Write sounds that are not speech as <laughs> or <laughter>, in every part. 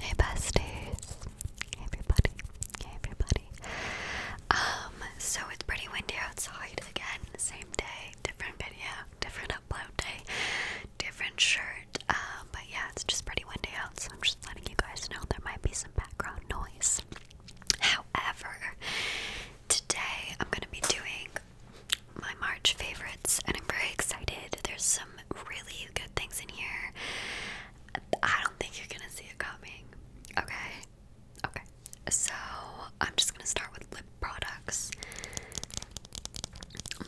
Hey besties. everybody. everybody. Um, so it's pretty windy outside again. Same day, different video, different upload day, different shirt. Um, but yeah, it's just pretty windy out, I'm just letting you guys know there might be some background noise. However, today I'm gonna be doing my March favorites and I'm very excited. There's some really good things in here. I don't think you're gonna see it coming. Okay? Okay. So I'm just gonna start with lip products.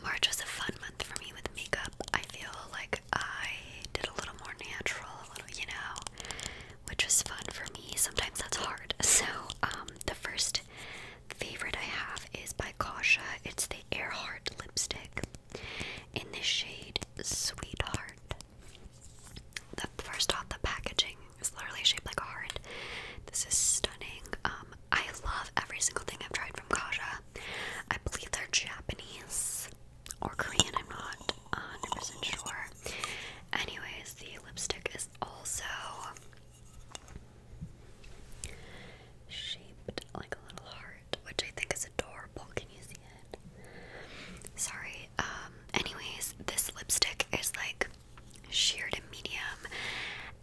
March was a fun month for me with makeup. I feel like I did a little more natural, you know, which was fun for me. Sometimes that's hard. <laughs> So, um, the first favorite I have is by Kausha. It's the Earhart lipstick in the shade Sweetheart. The first off, the packaging is literally shaped like a heart. This is stunning. Um, I love every single thing I've tried from Kaja. I believe they're Japanese or Korean. I'm not 100% sure. Anyways, the lipstick is also shaped like a little heart, which I think is adorable. Can you see it? Sorry. Um, anyways, this lipstick is like sheer to medium,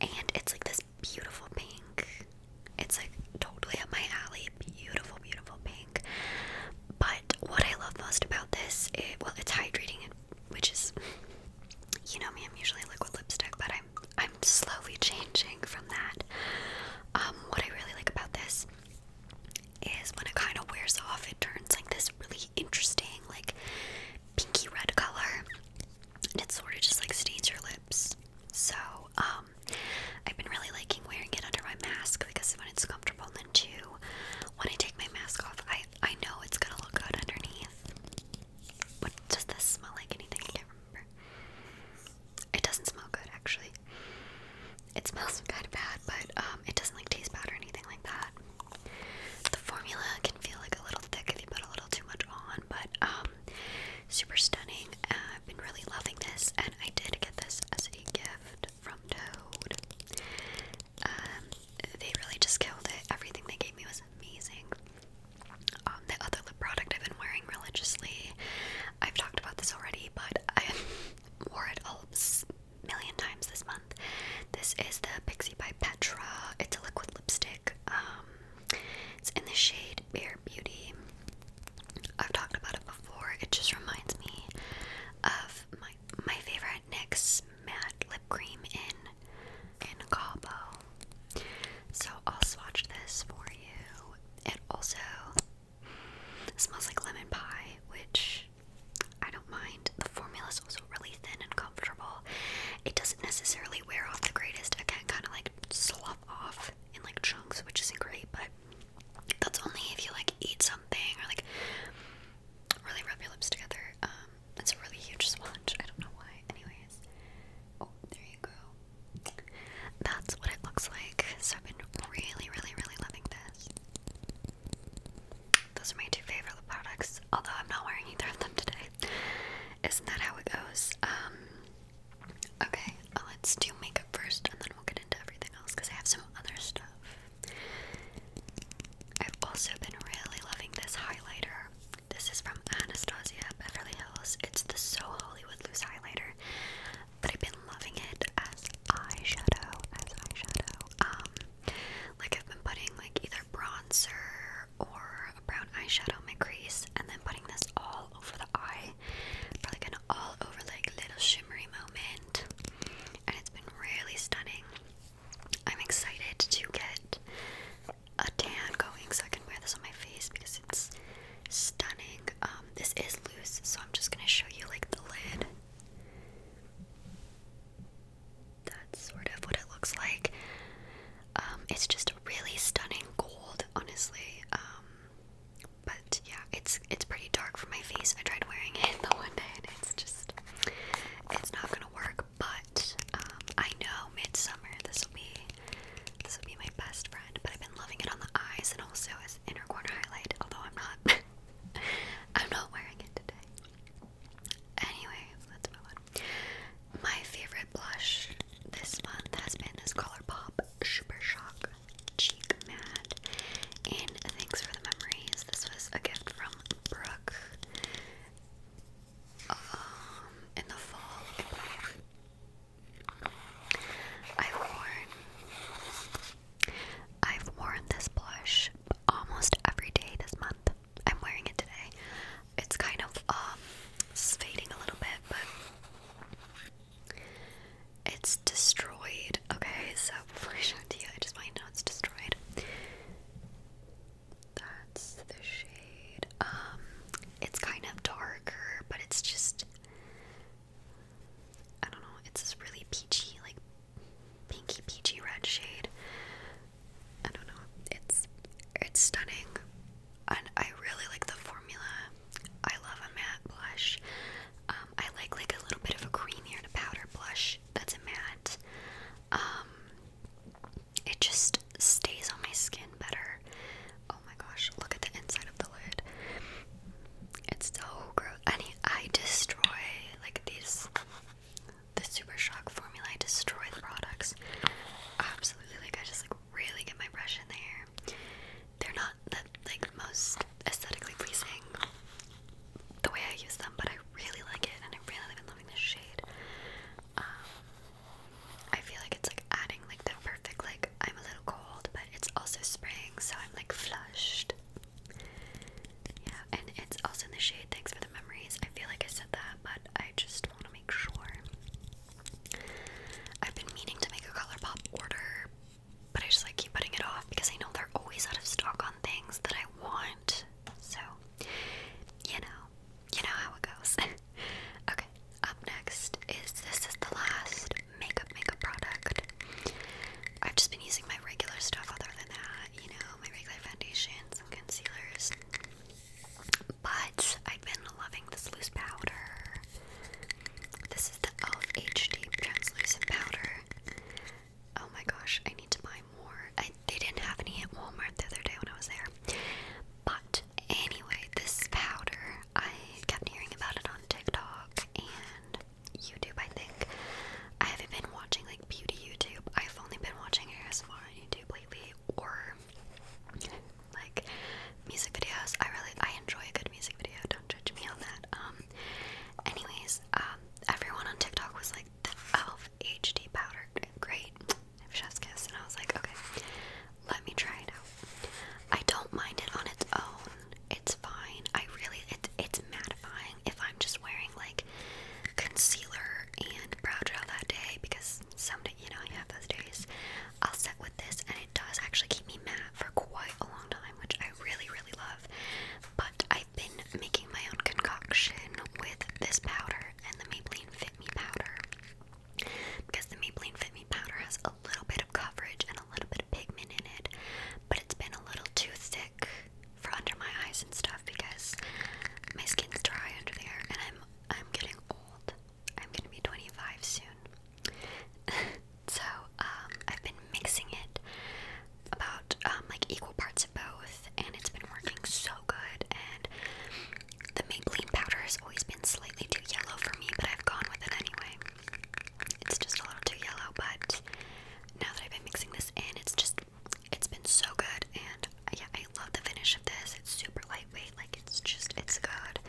and it's like this beautiful pink. It's like totally up my alley. Beautiful, beautiful pink. But what I love most about this, it, well, it's hydrating, which is, you know me, I'm usually liquid lipstick, but I. I'm slowly changing from that. Um, what I really like about this is when it kind of wears off, it turns like this really interesting, like pinky red color, and it sort of just like stains your lips. So, um, I've been really liking wearing it under my mask because when it's comfortable, and then too, when I take my mask off, I I know it's gonna look good underneath. What does this smell like? Anything? I can't remember. It doesn't smell good, actually. It smells <laughs> kind of bad, but um, it doesn't like taste bad or anything like that. The formula can feel like a little thick if you put a little too much on, but um, super stunning. I've been really loving this, and I did get this as a gift from Toad. Um, they really just killed it. Everything they gave me was amazing. Um, the other lip product I've been wearing religiously, I've talked about this already, but I <laughs> wore it a million times this month. This is the Pixie by Petra. It's a liquid lipstick. Um, it's in the shade Bare Beauty. I've talked about it before. It just reminds me of my my favorite NYX matte lip cream in in Cabo. So I'll swatch this for you. It also smells like lemon pie, which I don't mind. The formula is also really thin and comfortable. It doesn't necessarily wear off the greatest. Again, kind of like slough off in like chunks, which isn't great, but that's only if you like eat something or like really rub your lips together. Um, um, it's a really huge swatch. I don't know why. Anyways, oh, there you go. That's what it looks like. So I've been really, really, really loving this. Those are my two favorite products. Although I'm not wearing either of them today. Isn't that how it goes? Um, okay, let's do makeup first, and then we'll get into everything else because I have some other stuff. I've also been really loving this highlighter. This is from Anastasia Beverly Hills. It's the So Hollywood Loose Highlighter, but I've been loving it as eyeshadow, as eyeshadow. Um, like I've been putting like either bronzer or a brown eyeshadow in my crease, and then putting this all over the eye for like an all over like little shimmery moment, and it's been really stunning. I'm excited to get a tan going, so I can wear this on my face because it's stunning. Um, this is loose, so I'm just gonna show you like the lid. That's sort of what it looks like. Um, it's just really stunning gold, honestly. Um, but yeah, it's it's pretty dark for my face. I tried wearing it <laughs> the one day, and it's just it's not gonna work but um, I know midsummer this will be this will be my best friend. But I've been loving it on the eyes and also as inner corner highlight. Although I'm not, <laughs> I'm not wearing it today. Anyways, let's move My favorite blush this month has been this ColourPop Super Shock Cheek Matte, and thanks for the memories. This was a gift from Brooke um, in the fall. I've I've worn this blush almost every day this month. I'm wearing it today. It's kind of um, fading a little bit, but it's destroyed. Okay, so <laughs> before I show it to you, I just want to know it's destroyed. That's the shade. Um, it's kind of darker, but it's just I don't know, it's this really peachy, like pinky peachy red shade. I don't know. It's it's stunning. And I really like the formula. I love a matte blush. Um, I like like a little bit of a creamier to powder blush that's a matte. Um, it just stays on my skin better. Oh my gosh, look at the inside of the lid. It's so gross. I I destroy like these the super shock formula. I destroy the products. Absolutely, like I just like really get my brush in there. They're not the like most aesthetically pleasing the way I use them, but I really like it and I really been loving this shade. Um, I feel like it's like adding like the perfect like I'm a little cold, but it's also spring, so I'm like flushed. Yeah, and it's also in the shade. Thanks for the memories. I feel like I said that, but I just want to make sure. I've been meaning to make a ColourPop order, but I just like keep putting it off because I know they're always out of stock on things that I want. So, you know, you know how it goes. <laughs> okay, up next is this is the last makeup makeup product. I've just been using my regular stuff other than that, you know, my regular foundations and concealers. But I've been loving this loose powder. This is the e.l.f. HD translucent powder. Oh my gosh, I need to buy more. they didn't have any at Walmart the other day when I was there. But anyway, this powder, I kept hearing about it on TikTok and YouTube, I think. I haven't been watching like beauty YouTube. I've only been watching ASMR on YouTube lately or like music videos. I really I enjoy a good music video. Don't judge me on that. Um anyways, um everyone on TikTok was like scent of HD powder. Great. Chef's kiss. And I was like, okay, let me try it out. I don't mind it on its own. It's fine. I really, it, it's mattifying if I'm just wearing like concealer and brow gel that day because someday, you know, you have those days. I'll set with this and it does actually keep me matte for quite a long time, which I really, really love. But I. I've been making my own concoction with this powder and the Maybelline Fit Me powder because the Maybelline Fit Me powder has a little bit of coverage and a little bit of pigment in it, but it's been a little too thick for under my eyes and stuff because my skin's dry under there and I'm I'm getting old. I'm gonna be 25 soon. <laughs> so um, I've been mixing it about um, like equal parts of both, and it's been working so good. And the Maybelline powder has always been slightly too yellow for me, but I've gone with it anyway. It's just a little too yellow, but now that I've been mixing this in, it's just it's been so good. And yeah, I love the finish of this. It's super lightweight, like it's just it's good.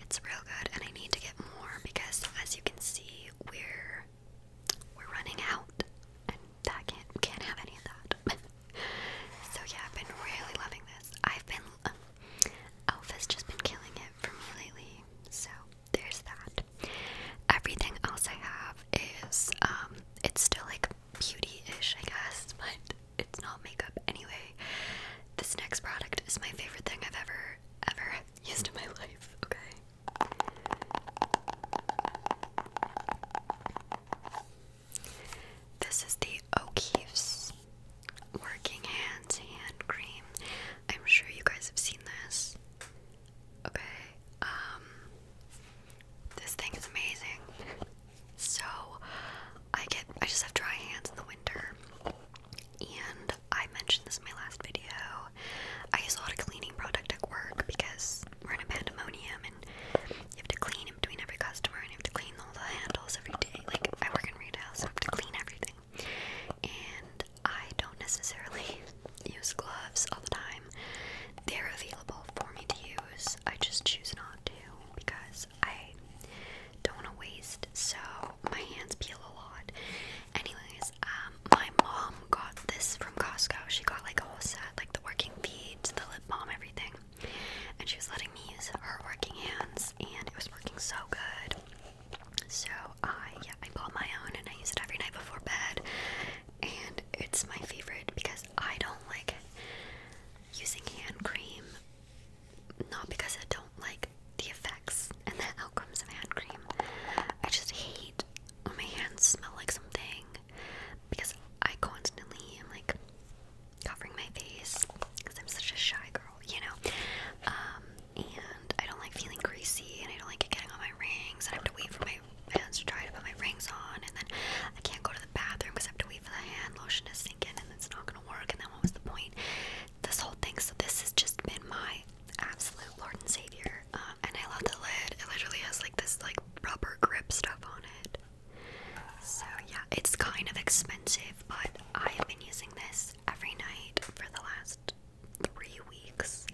It's real good, and I need to get more because, as you can see, we're we're running out, and that can't can't have any of that. <laughs> so yeah, I've been really loving this. I've been um, Alpha's just been killing it for me lately. So there's that. Everything else I have is um, it's still like beauty-ish, I guess, <laughs> but it's not makeup anyway. This next product is my favorite thing I've ever ever <laughs> used in my life. Okay, this is the O'Keefe's Working Hands Hand Cream. I'm sure you guys have seen this. Okay, um, this thing is amazing. So, I get, I just have dry hands in the winter, and I mentioned this in my last video. I use a lot of cleaning product at work because we're in a pandemonium and you have to clean in between every customer and you have to clean all the handles every day. Like, I work in retail, so I have to clean everything. And I don't necessarily <laughs> use gloves all the time. They're available for me to use. I just choose not to because I don't want to waste. So my hands peel a lot. Anyways, um, my mom got this from Costco. She got like a whole set, like the working beads, the lip balm, everything. And she was letting me use her working hands, and it was working so good. So I, yeah, I bought my own, and I use it every night before bed. And it's my favorite because I don't like using hand cream. Not because I don't like the effects and the outcomes of hand cream. I just hate when my hands smell like something because I constantly am like covering my face because I'm such a shy girl, you know. Um, and I don't like feeling greasy, and I don't like it getting on my rings. And I have to wait for my hands to dry to put my rings on, and then I can't go to the bathroom because I have to wait for the hand lotion to sink in, and it's not gonna work. And then what was the point? this whole thing. So this has just been my absolute Lord and Savior. Um, and I love the lid. It literally has like this like rubber grip stuff on it. So yeah, it's kind of expensive, but I have been using this every night for the last three weeks.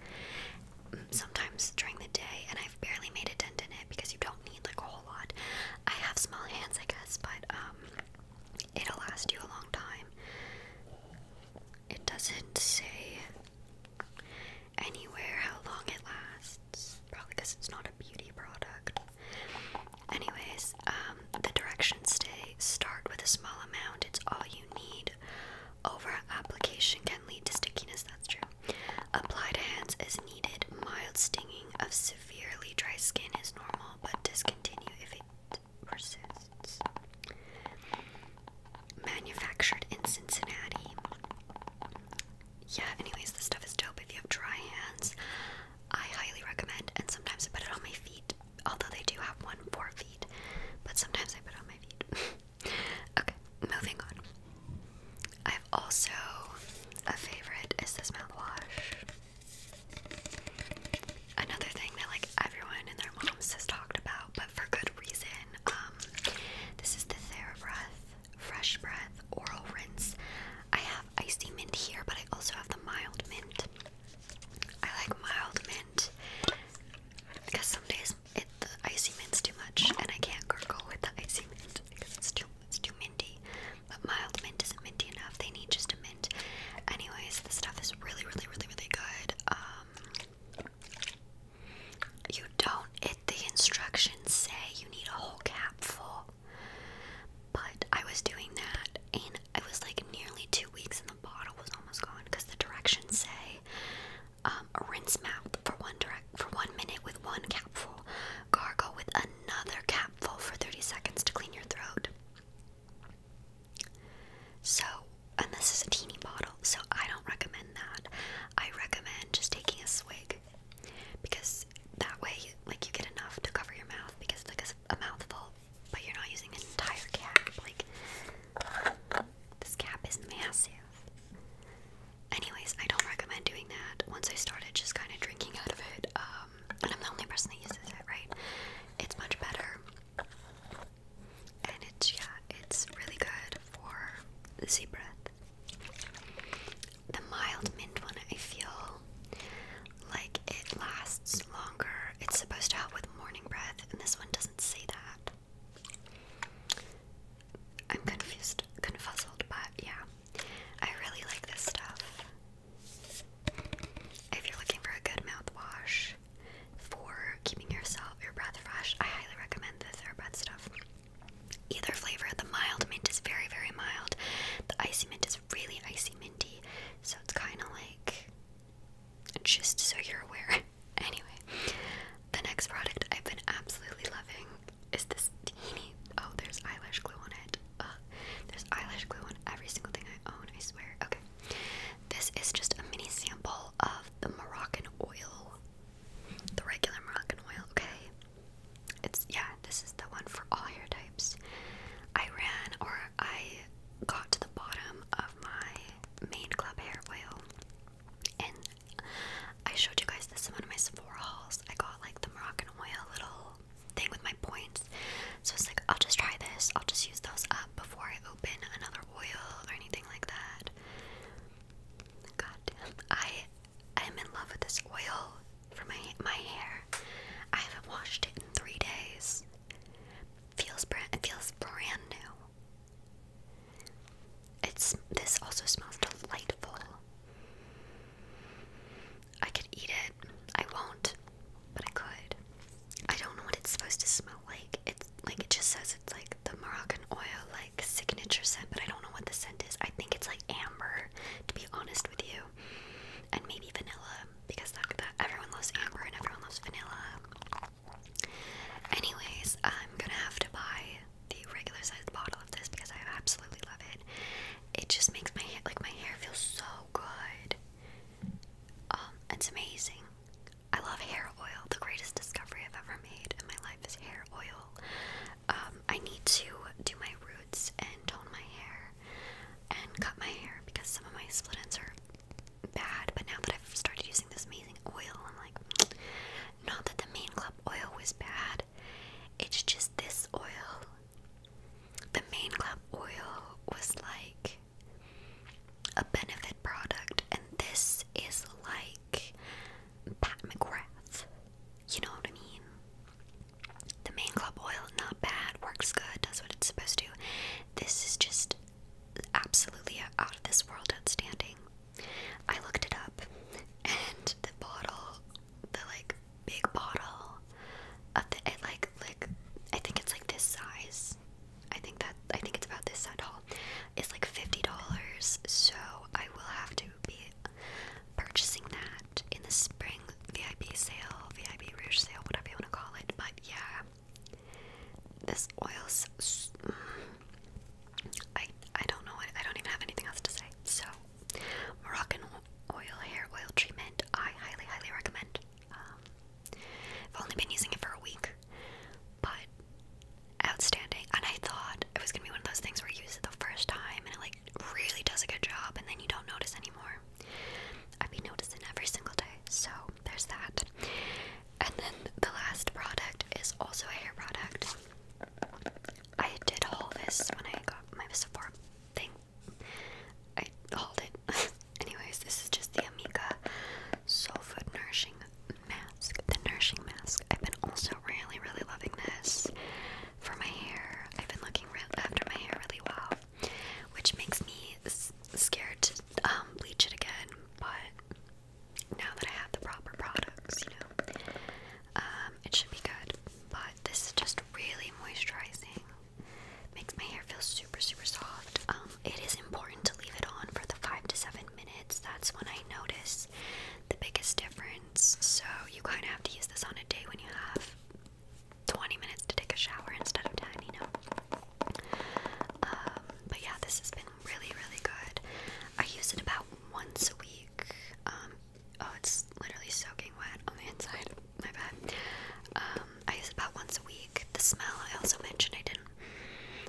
Mm, sometimes during the day, and I've barely made a dent in it because you don't need like a whole lot. I have small hands, I guess, but um, it'll last you a long time. It doesn't say anywhere how long it lasts, probably because it's not a beauty product. Anyways, um, the directions say start with a small amount, it's all you need. Over application can lead to stickiness, that's true. Applied to hands is needed. Mild stinging of severely dry skin is normal, but discontinue if it persists. Manufactured in Cincinnati. Yeah, anyways, this stuff is dope if you have dry hands. I highly recommend, and sometimes I put it on my feet, although they do have one for feet, but sometimes I put on my feet. <laughs> okay, moving on. I've also, a favorite is this mouthwash. Another thing that like everyone and their moms has talked about, but for good reason, um, this is the TheraBreath Fresh Breath Oral Rinse. I have icy mint here, but I also have the mild mint. I like mild mint because some days it, the icy mint's too much, and I can't gurgle with the icy mint because it's too it's too minty. But mild mint isn't minty enough. They need just Anyways, the stuff is really, really, really, really good. Um, you don't, it, the instructions say you need a whole cap full. But I was doing that and I was like nearly two weeks and the bottle was almost gone because the directions say um, rinse mouth for one direct for one minute with one capful, gargle with another capful for 30 seconds to clean your throat. So, and this is a teeny bottle, so I don't recommend that. I recommend just taking a swig because that way, like, you get enough to cover your mouth because it's like a, mouthful, but you're not using an entire cap. Like, this cap is massive. Anyways, I don't recommend doing that. Once I started just kind of drinking out of it, uh, um, and I'm the only person that uses it, right? It's much better, and it's yeah, it's really good for the zebra. The mild mint one, I feel like it lasts longer. It's supposed to help with morning breath, and this one doesn't say that. I'm confused, confuzzled, but yeah, I really like this stuff. If you're looking for a good mouthwash for keeping yourself your breath fresh, I highly recommend the TheraBreath stuff. Either flavor, the mild mint is very, very mild. The icy mint is really icy minty, so it's kind of like just so you're aware. <laughs> anyway, the next product I've been absolutely loving is this teeny Oh, there's eyelash glue on it. There's eyelash glue on every single thing I own, I swear. Okay. This is just a mini sample of the Moroccan oil. The regular Moroccan oil, okay? It's, yeah, this is the one for all hair types. I ran or I got to the bottom of my main club hair oil. And I showed you guys this in one of my Sephora hauls. I got like the Moroccan oil little thing with my points. So it's like, I'll just try this. I'll just use those up before I open another oil or anything like that. God damn. I am in love with this oil for my, my hair. I haven't washed it in three days. Feels brand, it feels brand new. It's, this also smells delightful. I could eat it. I won't, but I could. I don't know what it's supposed to smell like. It's like it just says it's like the Moroccan oil, like signature scent, but I don't know what the scent is. I think it's like amber, to be honest with you, and maybe vanilla because that, that everyone loves amber and everyone loves vanilla. Anyways, I'm gonna have to buy the regular sized bottle of this because I absolutely love it it just makes my hair like my hair feels so good. Um, it's amazing. I love hair oil. The greatest discovery I've ever made in my life is hair oil. Um, I need to do my roots and tone my hair and cut my hair because some of my split ends are bad. But now that I've started using this amazing oil, I'm like, not that the main club oil was bad, it's just this oil. The main club oil was like a benefit product, and this is like Pat McGrath. You know what I mean? The main club oil, not bad, works good, does what it's supposed to. This is just absolutely out of this world outstanding. I looked it up, and the bottle the like big bottle of like like I think it's like this size. I think that I think it's about this size haul. It's like fifty dollars, so I will have to be purchasing that in the spring VIP sale, VIP rush sale, whatever you want to call it. But yeah, this oil's. Mm, I I don't know. I, I don't even have anything else to say. So Moroccan oil hair oil treatment. I highly, highly recommend. Um, I've only been using it for a week, but outstanding. And I thought it was gonna be one of those things where you use it the first time and it like really does a good job, and then you don't notice anymore. I've been noticing every single day, so there's that. And then the last product is also a hair product. I did haul this when I got my Sephora thing. I hauled it. <laughs> Anyways, this is just the Amika Soul Food Nourishing Mask. The Nourishing Mask. I've been also really, really loving this for my hair. I've been looking after my hair really well, which makes me scared to um, bleach it again. But now that I have the proper products, you know, um, it should be good, but this is just really moisturizing. Makes my hair feel super, super soft. Um, it is important to leave it on for the five to seven minutes. That's when I notice the biggest difference. So you kind of have to use this on a day when you have 20 minutes to take a shower instead of 10, you know. Um, but yeah, this has been really, really good. I use it about once a week. Um, Oh, it's literally soaking wet on the inside. My bad. Um, I use it about once a week. The smell I also mentioned I didn't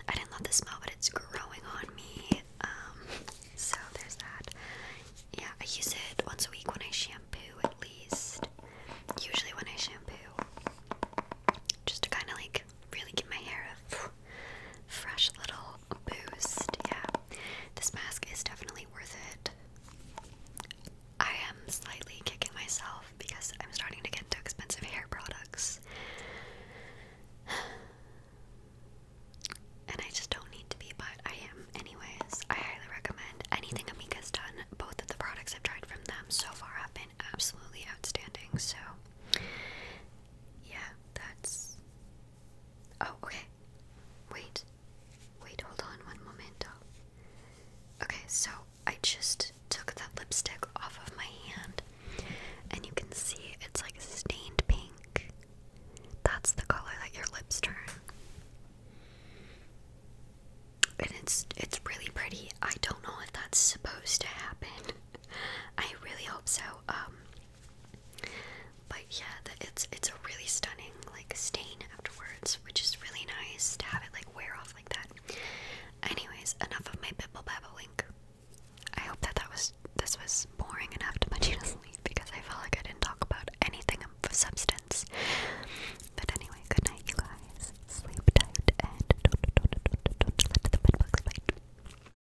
I didn't love the smell, but it's growing on me. Um, so there's that. Yeah, I use it once a week when I shampoo at least. Usually when I shampoo. Just to kinda like really get my hair a fresh little boost. Yeah, this mask is definitely worth it. I am slightly kicking myself because I'm starting to get into expensive hair products. <sighs> And I just don't need to be, but I am anyways. I highly recommend anything Amika's done. Both of the products I've tried from them so far have been absolutely outstanding. So yeah, that's Oh, okay. Wait. Wait, hold on one moment. Okay, so I just took that lipstick off of my hand, and you can see it's like stained pink. That's the color that your lips turn. And it's it's really pretty. I don't know if that's supposed to happen. <laughs> I really hope so. Um but yeah, the, it's it's a really stunning like stain afterwards, which is really nice to have it like wear off like that. Anyways, enough of my bibble babble wink. I hope that that was this was boring enough to put you to sleep because I felt like I didn't talk about anything of substance. But anyway, good night, you guys. Sleep tight and don't, don't, don't, don't, don't let the bed bugs bite.